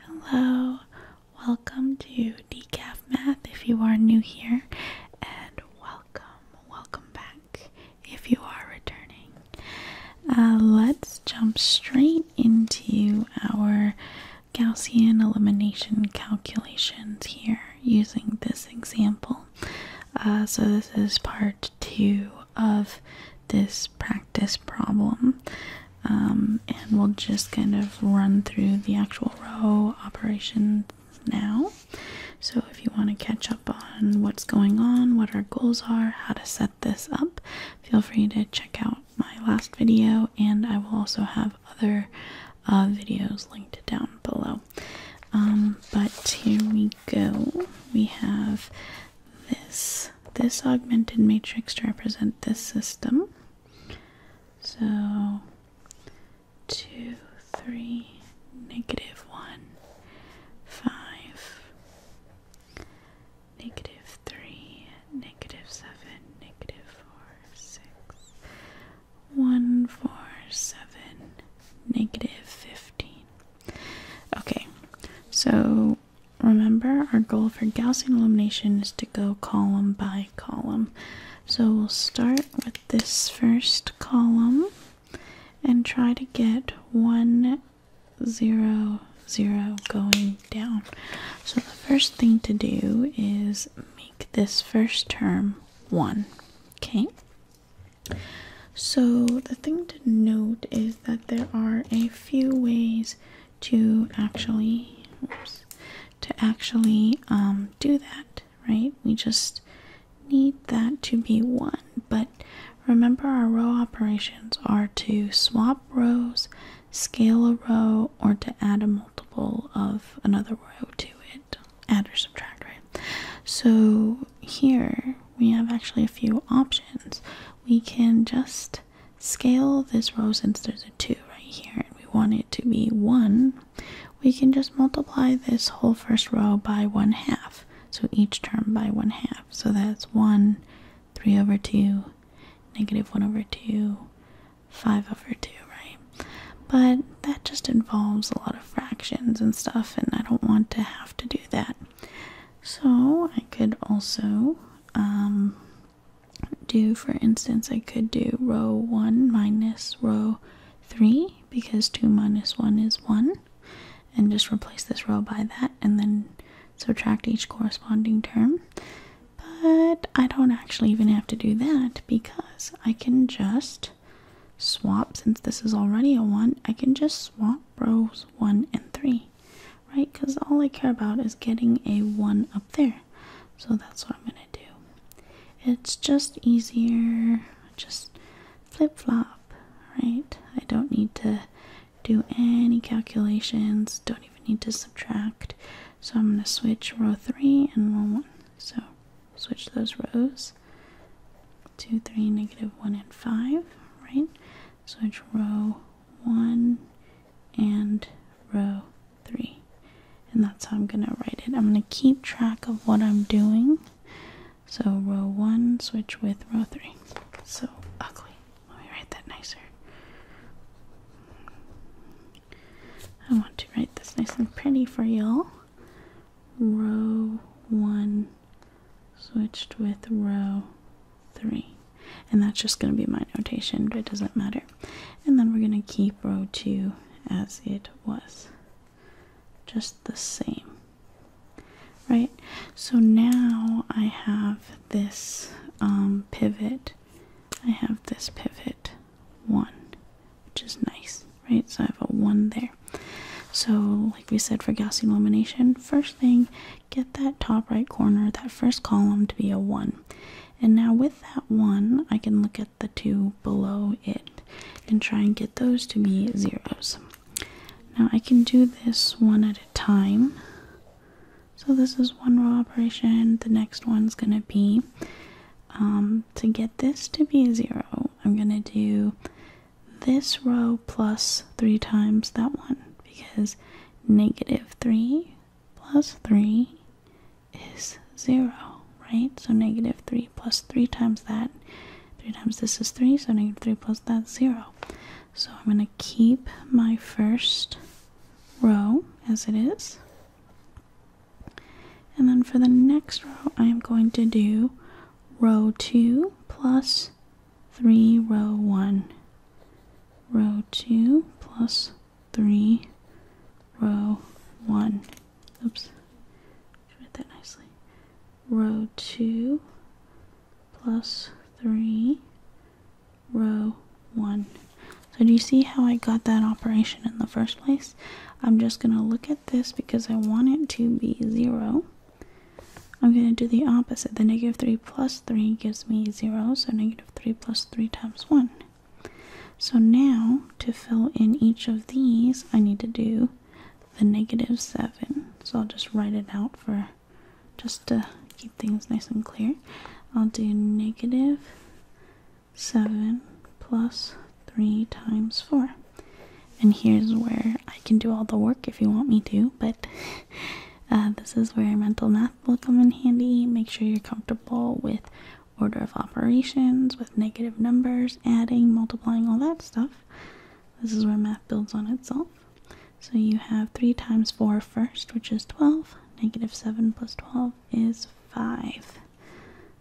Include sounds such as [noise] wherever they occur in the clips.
Hello, welcome to Decaf Math if you are new here, and welcome, welcome back if you are returning. Uh, let's jump straight into our Gaussian elimination calculations here using this example. Uh, so, this is part two of this practice problem um, and we'll just kind of run through the actual row operations now so if you want to catch up on what's going on what our goals are how to set this up feel free to check out my last video and i will also have other uh, videos linked down below um, but here we go we have this this augmented matrix to represent this system. So, 2, 3, negative 1, 5, negative 3, negative 7, negative six, one, four, 15. Okay, so remember our goal for Gaussian elimination is to go column by column. So we'll start with this first column and try to get one zero zero going down. So the first thing to do is make this first term one. Okay. So the thing to note is that there are a few ways to actually to actually um, do that, right? We just need that to be one. But remember, our row operations are to swap rows, scale a row, or to add a multiple of another row to it, add or subtract, right? So here we have actually a few options. We can just scale this row since there's a 2 right here and we want it to be 1, we can just multiply this whole first row by 1 half. So each term by 1 half. So that's 1, 3 over 2, negative 1 over 2, 5 over 2, right? But that just involves a lot of fractions and stuff, and I don't want to have to do that. So I could also um, do, for instance, I could do row 1 minus row 3 because 2 minus 1 is 1, and just replace this row by that and then subtract each corresponding term. But I don't actually even have to do that because I can just swap, since this is already a 1, I can just swap rows 1 and 3 right? Because all I care about is getting a 1 up there. So that's what I'm going to do. It's just easier, just flip flop, right? I don't need to do any calculations, don't even need to subtract. So I'm going to switch row 3 and row 1. So switch those rows 2, 3, negative 1, and 5, right? Switch row 1 and row 3. And that's how I'm going to write it. I'm going to keep track of what I'm doing. So row 1, switch with row 3. So ugly. Let me write that nicer. I want to write this nice and pretty for y'all. Row 1 switched with row three. And that's just going to be my notation, but it doesn't matter. And then we're going to keep row two as it was. Just the same. Right? So now I have this um, pivot. I have this pivot one, which is nice, right? So I have a one there. So, like we said for Gaussian elimination, first thing, get that top right corner, that first column to be a 1. And now with that 1, I can look at the 2 below it and try and get those to be zeros. Now I can do this one at a time. So this is one row operation. The next one's going to be um, to get this to be 0, I'm going to do this row plus 3 times that one because negative 3 plus 3 is 0, right? So negative 3 plus 3 times that, 3 times this is 3, so negative 3 plus that 0. So I'm going to keep my first row as it is. And then for the next row, I am going to do row 2 plus 3 row 1 row 2 plus 3 row 1 oops read that nicely row 2 plus 3 row 1 so do you see how I got that operation in the first place I'm just going to look at this because I want it to be 0 I'm going to do the opposite. The negative 3 plus 3 gives me 0, so negative 3 plus 3 times 1. So now, to fill in each of these, I need to do the negative 7. So I'll just write it out for just to keep things nice and clear. I'll do negative 7 plus 3 times 4. And here's where I can do all the work if you want me to, but [laughs] Uh, this is where mental math will come in handy. Make sure you're comfortable with order of operations, with negative numbers, adding, multiplying, all that stuff. This is where math builds on itself. So you have 3 times 4 first, which is 12. Negative 7 plus 12 is 5.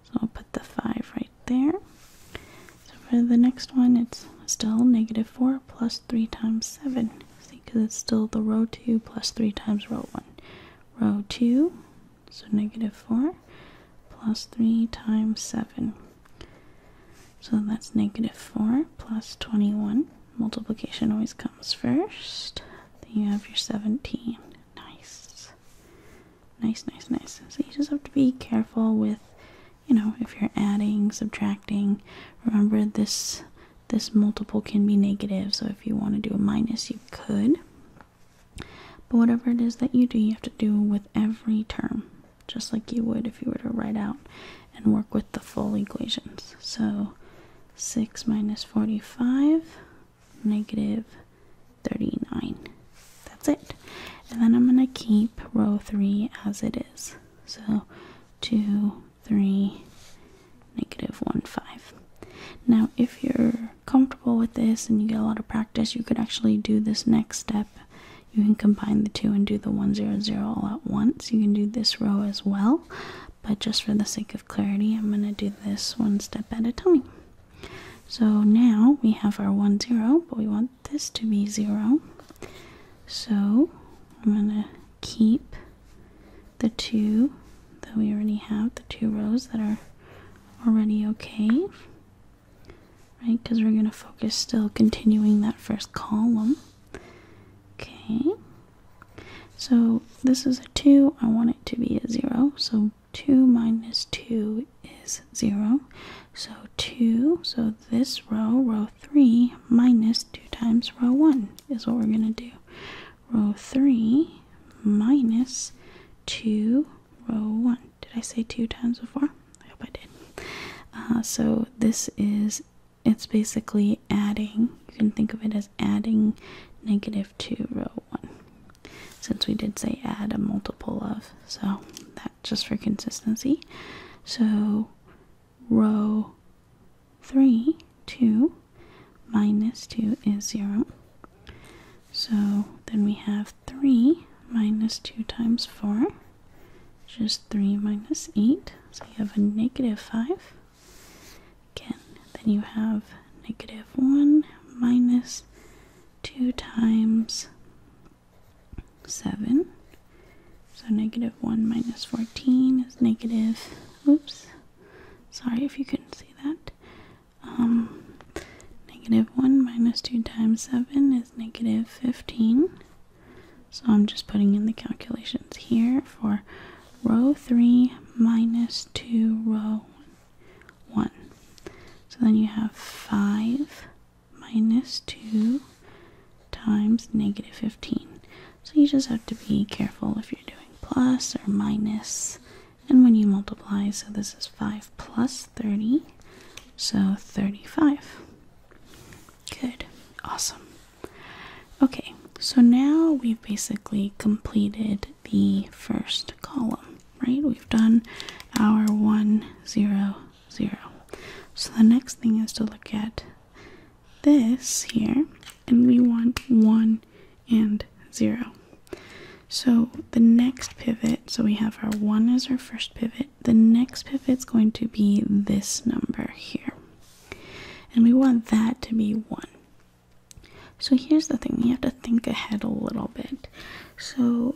So I'll put the 5 right there. So for the next one, it's still negative negative 4 plus 3 times 7. See, because it's still the row 2 plus 3 times row 1. Row 2, so negative 4 plus 3 times 7. So that's negative 4 plus 21. Multiplication always comes first. Then you have your 17. Nice. Nice, nice, nice. So you just have to be careful with you know, if you're adding, subtracting, remember this this multiple can be negative, so if you want to do a minus, you could. But whatever it is that you do, you have to do with every term, just like you would if you were to write out and work with the full equations. So 6 minus 45, negative 39. That's it. And then I'm going to keep row 3 as it is. So 2, 3, negative 1, 5. Now, if you're comfortable with this and you get a lot of practice, you could actually do this next step. You can combine the two and do the one zero zero all at once. You can do this row as well, but just for the sake of clarity, I'm going to do this one step at a time. So now we have our one zero, but we want this to be zero. So I'm gonna keep the two that we already have, the two rows that are already okay. Right, because we're gonna focus still continuing that first column. Okay. So this is a 2, I want it to be a 0, so 2 minus 2 is 0. So 2, so this row, row 3, minus 2 times row 1 is what we're going to do. Row 3 minus 2, row 1. Did I say 2 times before? I hope I did. Uh, so this is, it's basically adding, you can think of it as adding negative 2 row 1 since we did say add a multiple of so that just for consistency. So row 3, 2 minus 2 is 0. So then we have 3 minus 2 times 4, which is 3 minus 8. So you have a negative 5. Again, then you have negative 1 minus 2 times 7. So negative 1 minus 14 is negative, oops, sorry if you couldn't see that. Um, negative 1 minus 2 times 7 is negative 15. So I'm just putting in the calculations here for row 3 minus 2 row 1. So then you have 5 minus 2 times negative 15. So you just have to be careful if you're doing plus or And when you multiply, so this is 5 plus 30, so 35. Good, awesome. Okay, so now we've basically completed the first column, right? We've done our 1, 0, zero. So the next thing is to look at this here, and we want one and zero. So the next pivot, so we have our one as our first pivot, the next pivot is going to be this number here. And we want that to be one. So here's the thing, you have to think ahead a little bit. So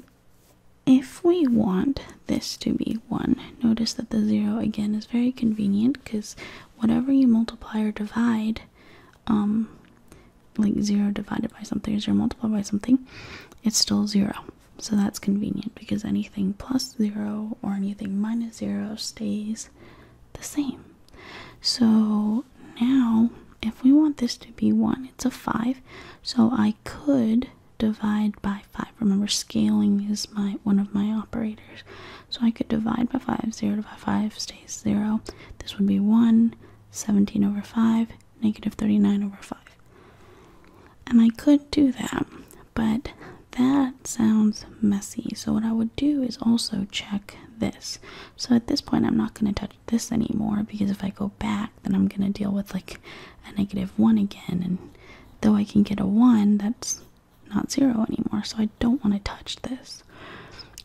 if we want this to be 1, notice that the 0 again is very convenient because whatever you multiply or divide, um, like 0 divided by something or 0 multiplied by something, it's still 0. So that's convenient because anything plus 0 or anything minus 0 stays the same. So now, if we want this to be 1, it's a 5, so I could divide by 5. Remember, scaling is my one of my operators. So I could divide by 5. 0 divided by 5 stays 0. This would be 1, 17 over 5, negative 39 over 5. And I could do that, but that sounds messy. So what I would do is also check this. So at this point, I'm not going to touch this anymore because if I go back, then I'm going to deal with like a negative 1 again. And though I can get a 1, that's not 0 anymore. So I don't want to touch this.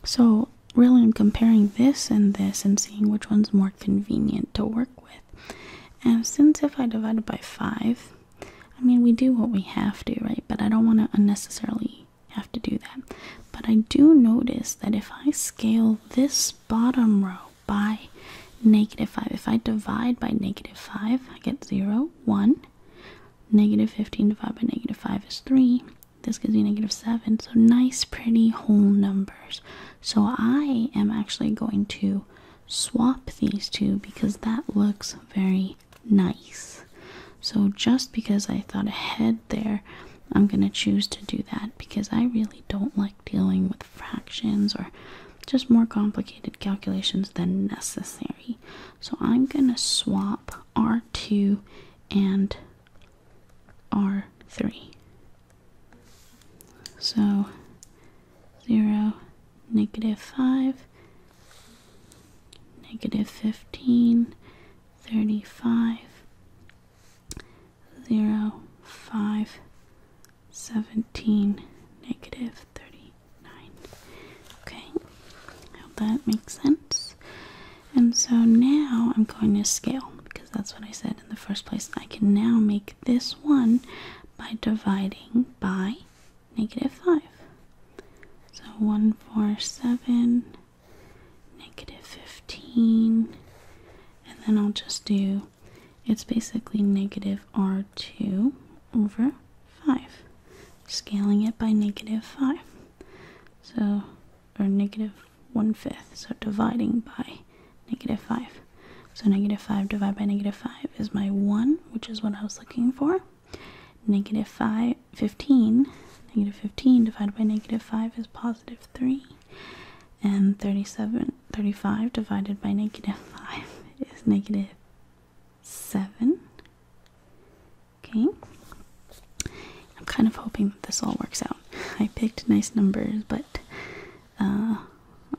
So really I'm comparing this and this and seeing which one's more convenient to work with. And since if I divide it by 5, I mean we do what we have to, right? But I don't want to unnecessarily have to do that. But I do notice that if I scale this bottom row by negative 5. If I divide by negative 5, I get 0, 1. Negative 15 divided by negative 5 is 3. This gives me negative 7. So nice, pretty whole numbers. So I am actually going to swap these two because that looks very nice. So just because I thought ahead there, I'm going to choose to do that because I really don't like dealing with fractions or just more complicated calculations than necessary. So I'm going to swap R2 and R3. So 0, negative 5, negative 15, 35, 0, 5, 17, negative 39. Okay, hope that makes sense. And so now I'm going to scale because that's what I said in the first place. I can now make this one by dividing by negative 5. So 1, 4, 7, negative 15, and then I'll just do it's basically negative r2 over 5, scaling it by negative 5. So, or negative 1 fifth, so dividing by negative 5. So negative 5 divided by negative 5 is my 1, which is what I was looking for. Negative 5, 15, negative 15 divided by negative 5 is positive 3 and 37 35 divided by negative 5 is negative 7 okay i'm kind of hoping that this all works out i picked nice numbers but uh,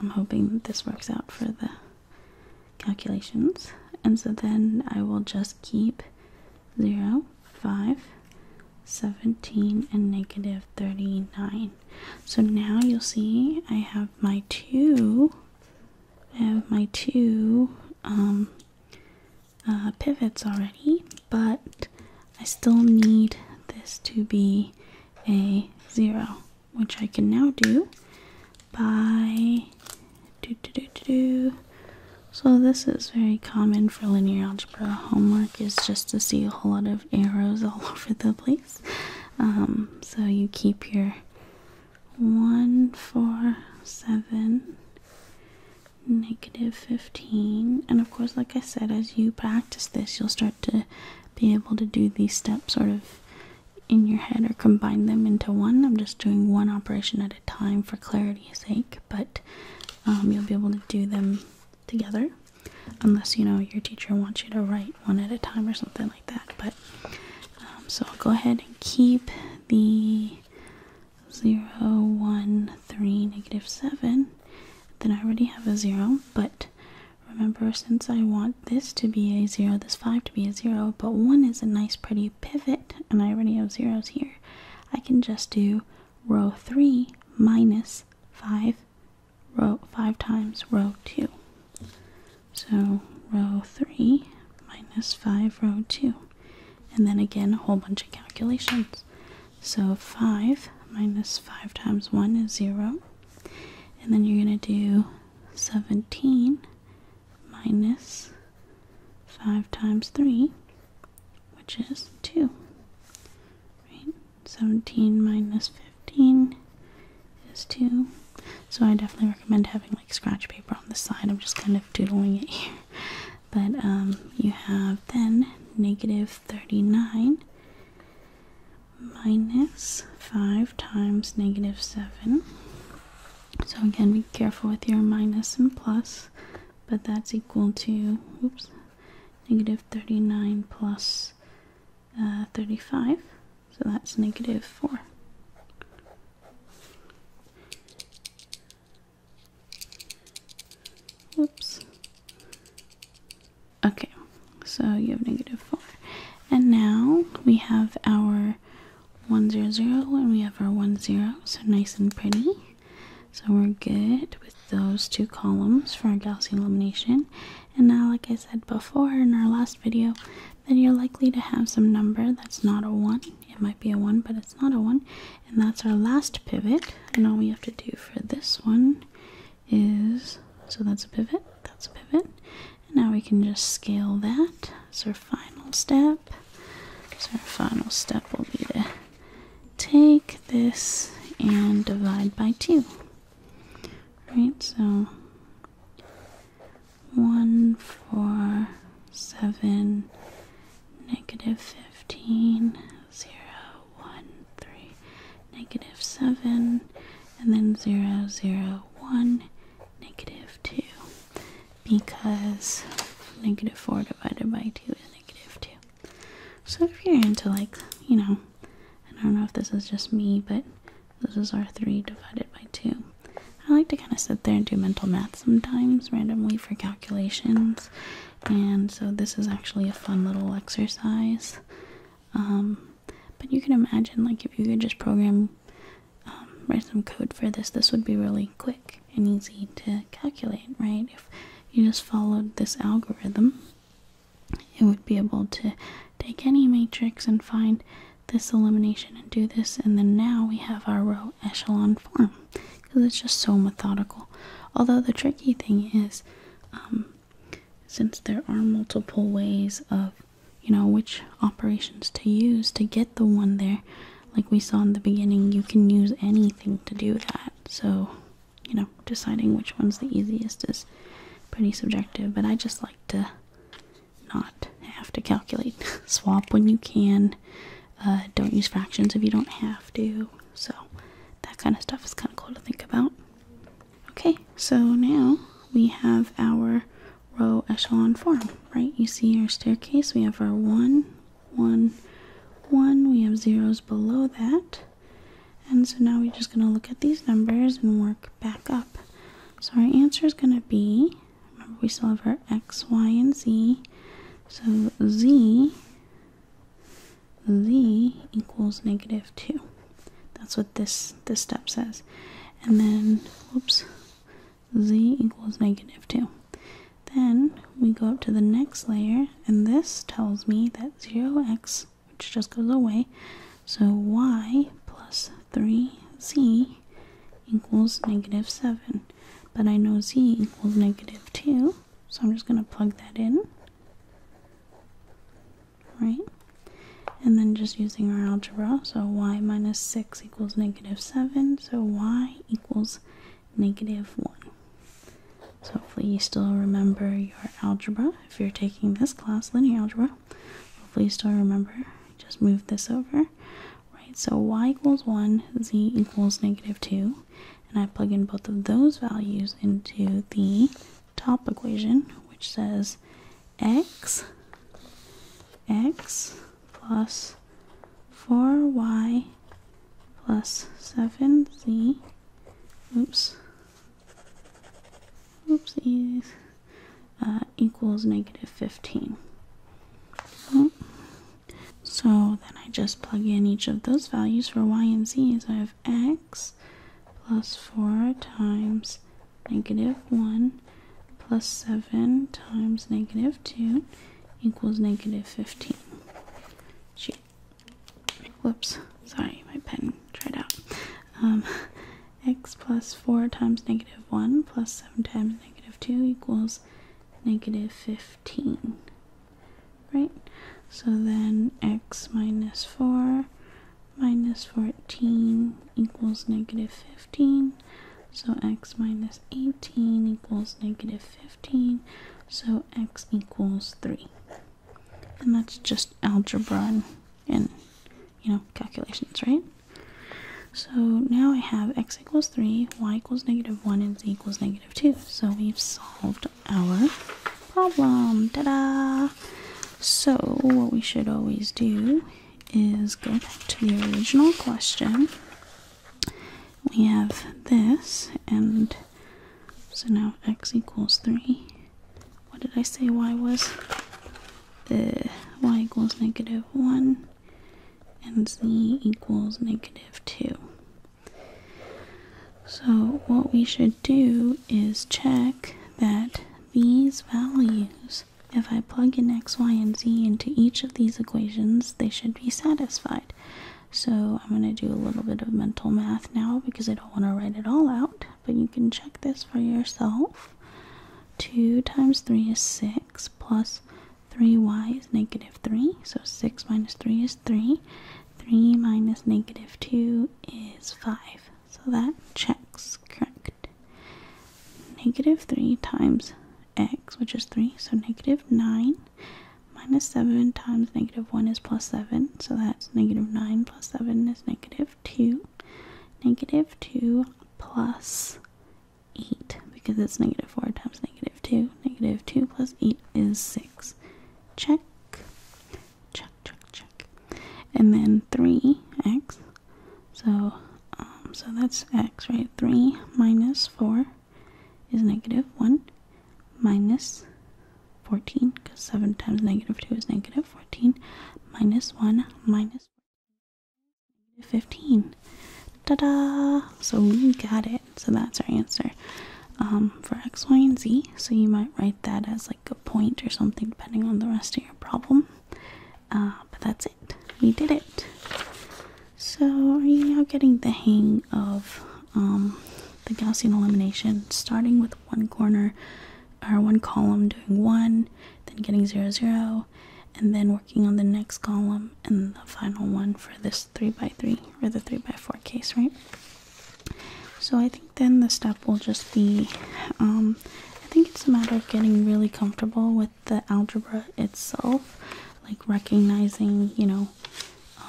i'm hoping that this works out for the calculations and so then i will just keep 0 5 17 and negative 39. So now you'll see I have my two, I have my two um, uh, pivots already, but I still need this to be a zero, which I can now do by do do do do. So this is very common for linear algebra algebra homework is just to see a whole lot of arrows [laughs] all over the place. Um, so you keep your one, four, seven, negative 15. And of course, like I said, as you practice this, you'll start to be able to do these steps sort of in your head or combine them into one. I'm just doing one operation at a time for clarity's sake, but um, you'll be able to do them together unless you know your teacher wants you to write one at a time or something like that. But um, so I'll go ahead and keep the 0, 7. Then I already have a 0, but remember since I want this to be a 0, this 5 to be a 0, but 1 is a nice pretty pivot, and I already have zeros here, I can just do row 3 minus 5 row five times row two. So row three minus five row two. And then again a whole bunch of calculations. So five minus five times one is zero. And then you're gonna do 17 minus 5 times 3, which is 2. Right? 17 minus 15 is 2. So I definitely recommend having like scratch paper on the side. I'm just kind of doodling it here. But um, you have then negative 39 minus 5 times negative 7. So again, be careful with your minus and plus, but that's equal to oops, negative 39 uh, 35, so that's negative 4. Oops. Okay, so you have negative 4. And now we have our 1, 0, 0, and we have our 1, 0, so nice and pretty. So we're good with those two columns for our Gaussian elimination. And now, like I said before in our last video, then you're likely to have some number that's not a 1. It might be a 1, but it's not a 1. And that's our last pivot. And all we have to do for this one is, so that's a pivot, that's a pivot. And now we can just scale that. So our final step. So our final step will be to take this and divide by 2. Right, so 1, 4, 7, negative 15, 0, 1, 3, negative 7, and then 0, 0, 1, negative 2. Because negative 4 divided by 2 is negative 2. So if you're into like, you know, I don't know if this is just me, but this is R3 divided by 2. I like to kind of sit there and do mental math sometimes randomly for calculations. And so this is actually a fun little exercise. Um, but you can imagine like if you could just program um, write some code for this, this would be really quick and easy to calculate, right? If you just followed this algorithm, it would be able to take any matrix and find this elimination and do this, and then now we have our row echelon form because it's just so methodical. Although the tricky thing is, um, since there are multiple ways of you know which operations to use to get the one there like we saw in the beginning you can use anything to do that so you know, deciding which one's the easiest is pretty subjective, but I just like to not have to calculate. [laughs] Swap when you can. Uh, don't use fractions if you don't have to. So that kind of stuff is kind of cool to think about. Okay, so now we have our row echelon form, right? You see our staircase. We have our one, one, one. We have zeros below that. And so now we're just going to look at these numbers and work back up. So our answer is going to be, remember we still have our x, y, and z. So z, z equals negative 2. That's what this, this step says. And then, whoops, z equals negative 2. Then we go up to the next layer, and this tells me that 0x, which just goes away, so y plus 3z equals negative 7. But I know z equals negative 2, so I'm just going to plug that in. Right? And then just using our algebra, so y minus 6 equals negative 7, so y equals negative 1. So hopefully you still remember your algebra. If you're taking this class, linear algebra, hopefully you still remember. Just move this over. Right, so y equals 1, z equals negative 2. And I plug in both of those values into the top equation, which says x, x plus 4y plus 7z, oops, oopsies, uh, equals negative 15. So, then I just plug in each of those values for y and z. So I have x plus 4 times negative 1 plus 7 times negative 2 equals negative 15. Whoops, sorry, my pen tried out. Um, x plus 4 times negative 1 plus 7 times negative 2 equals negative 15. Right? So then x minus 4 minus 14 equals negative 15. So x minus 18 equals negative 15. So x equals 3. And that's just algebra and, you know, calculations, right? So now I have x equals 3, y equals negative 1, and z equals negative 2. So we've solved our problem. Da da! So, what we should always do is go back to the original question. We have this, and so now x equals 3. What did I say y was? The y equals negative 1 and z equals negative 2. So what we should do is check that these values, if I plug in x, y, and z into each of these equations, they should be satisfied. So I'm going to do a little bit of mental math now because I don't want to write it all out, but you can check this for yourself. 2 times 3 is 6 plus 3y is negative 3, so 6 minus 3 is 3. 3 minus negative 2 is 5, so that checks correct. Negative 3 times x, which is 3. So negative 9 minus 7 times negative 1 is plus 7. So that's negative 9 plus 7 is negative 2. Negative 2 plus 8, because it's negative 4 times negative 2. Negative 2 plus 8 is 6. Check. Check, check, check. And then 3x. So um, so that's x, right? 3 minus 4 is negative 1 minus 14, because 7 times negative 2 is negative 14, minus 1 minus 15. Ta-da! So we got it. So that's our answer um, for x, y, and z. So you might write that as like a point or something depending on the rest of your problem. Uh, but that's it. We did it. So, are you now getting the hang of um, the Gaussian elimination? Starting with one corner or one column, doing one, then getting zero, zero, and then working on the next column and the final one for this three by three or the three by four case, right? So, I think then the step will just be. Um, I think it's a matter of getting really comfortable with the algebra itself like recognizing, you know,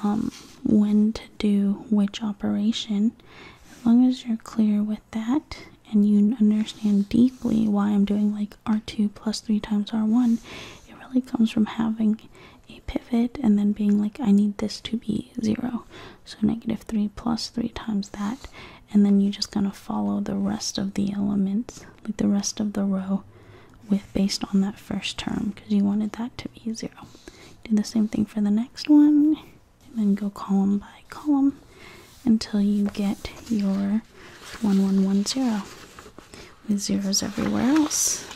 um, when to do which operation. As long as you're clear with that and you understand deeply why I'm doing like R2 plus 3 times R1, it really comes from having a pivot and then being like, I need this to be 0. So negative 3 plus 3 times that. And then you are just gonna follow the rest of the elements like the rest of the row with based on that first term because you wanted that to be zero. Do the same thing for the next one and then go column by column until you get your 1110 with zeros everywhere else.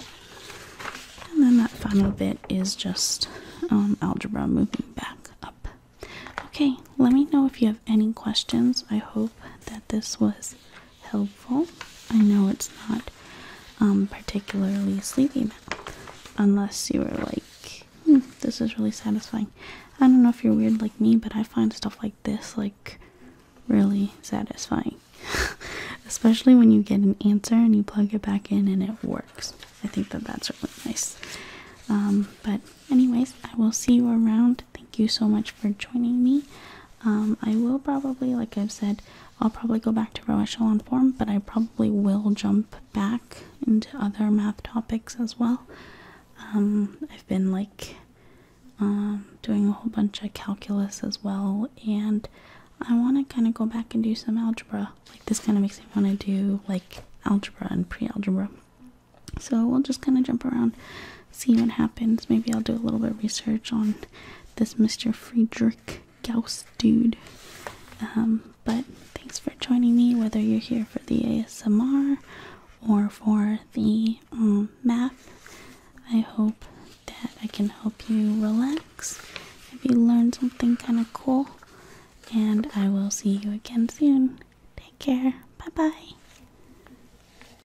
And then that final bit is just um, algebra moving back up. Okay, let me know if you have any questions. I hope that this was helpful. I know it's not um, particularly sleepy, unless you are like, hmm, this is really satisfying. I don't know if you're weird like me, but I find stuff like this like really satisfying, [laughs] especially when you get an answer and you plug it back in and it works. I think that that's really nice. Um, but anyways, I will see you around Thank you so much for joining me. Um, I will probably, like I've said, I'll probably go back to row echelon form, but I probably will jump back into other math topics as well. Um, I've been like um, doing a whole bunch of calculus as well, and I want to kind of go back and do some algebra. Like this kind of makes me want to do like algebra and pre-algebra. So we'll just kind of jump around see what happens. Maybe I'll do a little bit of research on this Mr. Friedrich Gauss dude. Um, but thanks for joining me, whether you're here for the ASMR or for the um, math. I hope that I can help you relax if you learned something kind of cool. And I will see you again soon. Take care. Bye bye.